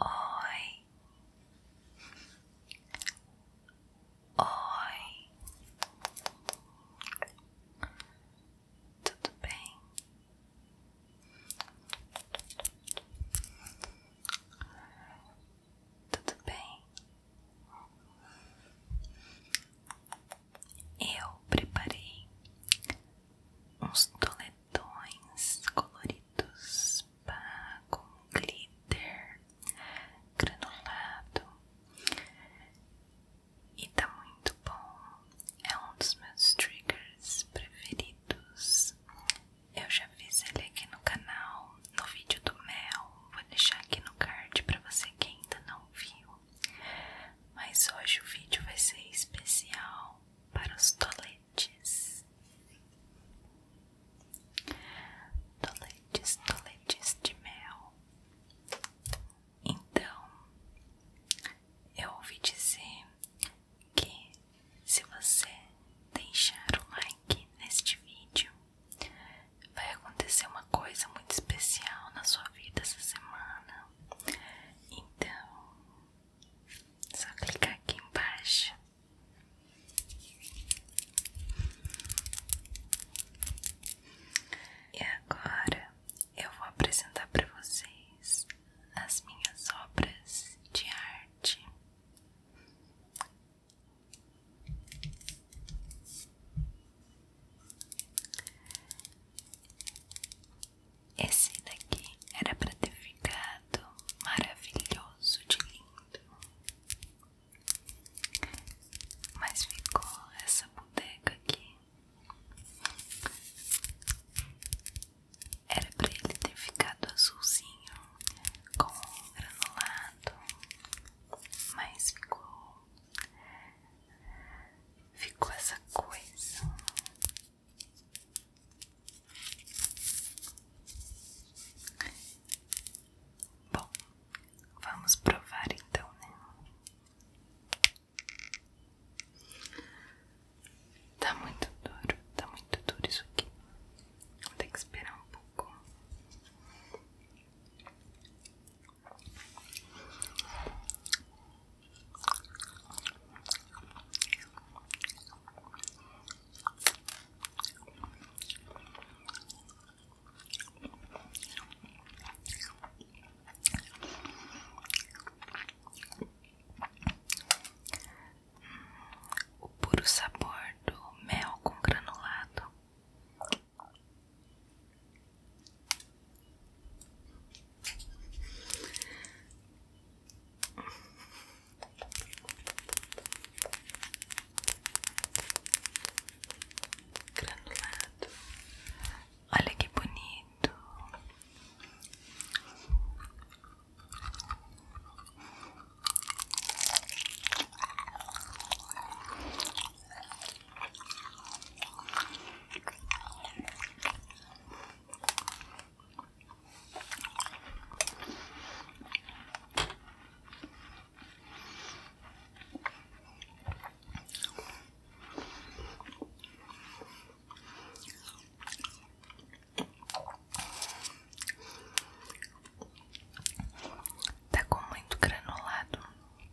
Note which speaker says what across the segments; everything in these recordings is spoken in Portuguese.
Speaker 1: Oi. Oi. Tudo bem? Tudo bem? eu preparei uns toletões coloridos pá, com glitter granulado e tá muito bom. É um dos meus triggers preferidos. Eu já fiz ele aqui no canal, no vídeo do mel. Vou deixar aqui no card para você quem ainda não viu. Mas hoje o vídeo vai ser especial para os toletes. Toletes, toletes de mel. Então, eu ouvi dizer que se você deixar o like neste vídeo, vai acontecer uma coisa muito especial na sua vida essa semana. Então, só clicar aqui embaixo. E agora eu vou apresentar para vocês as minhas obras de arte. Esse daqui era pra ter ficado maravilhoso de lindo, mas ficou essa bodega aqui. Era pra ele ter ficado azulzinho com granulado, mas ficou ficou essa coisa. Bom, vamos provar então, né? Tá muito duro, tá muito duro isso aqui. Vou ter que esperar um pouco. O puro sabor do mel com granulado Granulado, olha que bonito. Tá com muito granulado.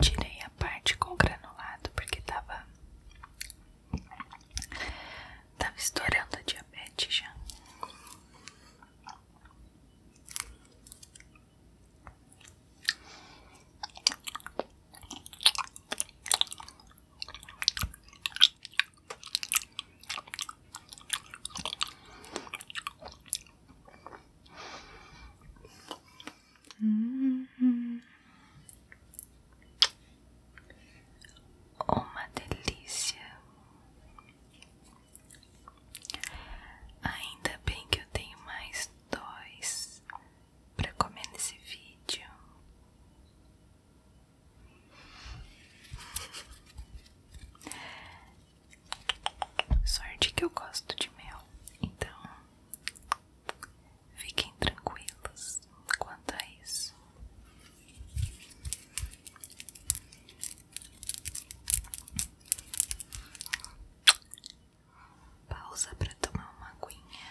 Speaker 1: Tirei a parte com granulado porque tava. Tava estourando a diabetes já. Hum, uma delícia. Ainda bem que eu tenho mais dois para comer nesse vídeo. Sorte que eu gosto de mel, então Fiquem tranquilos quanto a isso. Pausa para tomar uma aguinha.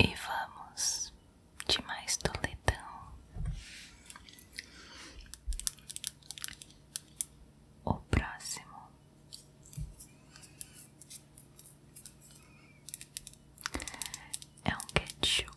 Speaker 1: E vamos de mais toletão. O próximo é um ketchup.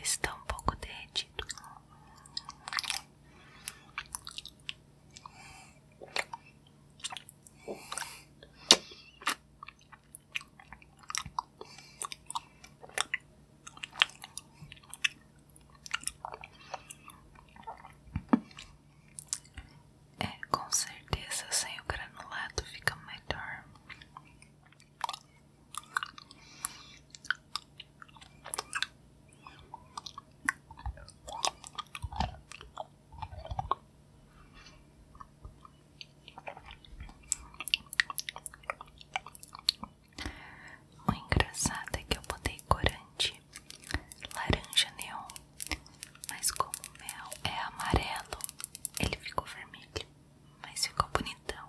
Speaker 1: Está um pouco derretido. É, com certeza sem o granulado fica melhor. O engraçado é que eu botei corante laranja neon, mas como o mel é amarelo, ele ficou vermelho, mas ficou bonitão.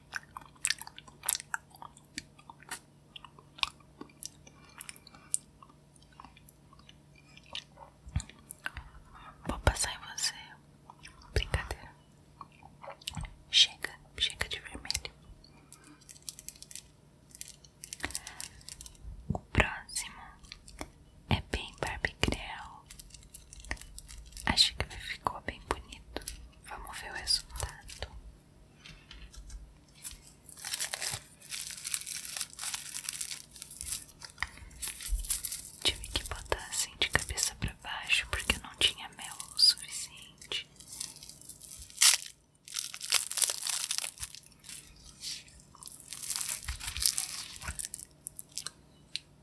Speaker 1: Vou passar em você. Brincadeira. Chega, chega de vermelho. O próximo é bem Barbie Creel. Acho que ficou bem bonito. Vamos ver o resultado. Tive que botar assim de cabeça para baixo porque não tinha mel o suficiente.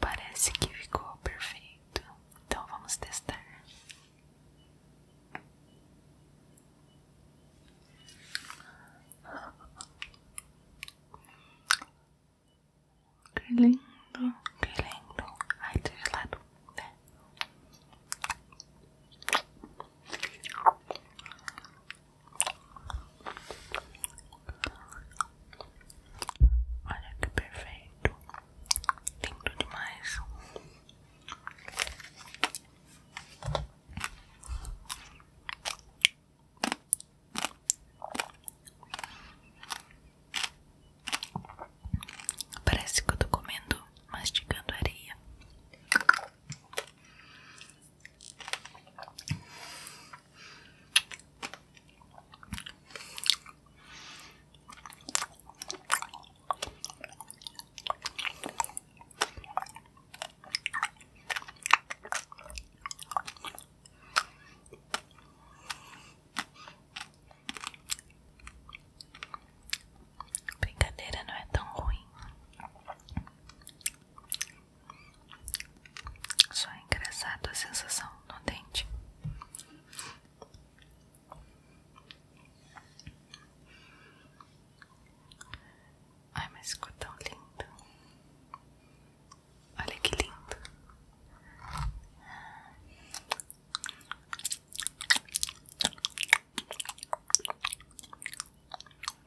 Speaker 1: Parece que ficou perfeito. Então vamos testar. Que lindo, que lindo. Ai, do gelado, né? Olha que perfeito, lindo demais. Parece que eu tô comendo, mastigando areia. Brincadeira não é tão ruim. Só é engraçado a sensação no dente. Ai, mas ficou tão lindo. Olha que lindo.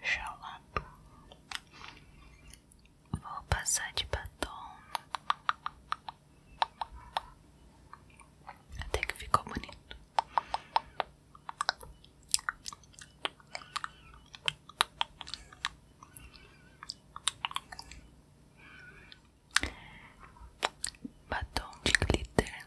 Speaker 1: Xalato. Vou passar de batom. Até que ficou bonito. Batom de glitter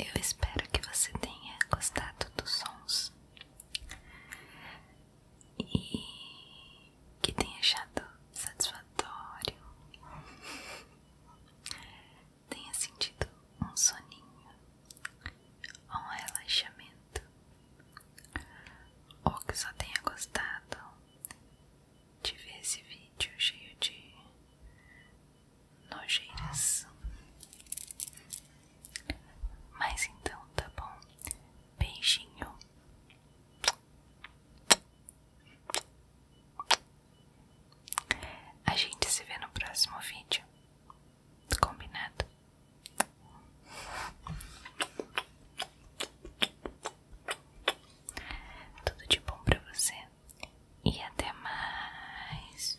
Speaker 1: Eu espero que você tenha gostado dos sons e que tenha achado satisfatório. tenha sentido um soninho ou um relaxamento, ou que só tenha gostado de ver esse vídeo cheio de nojeiras. Mas então tá bom, beijinho. A gente se vê no próximo vídeo. Combinado? Tudo de bom para você e até mais.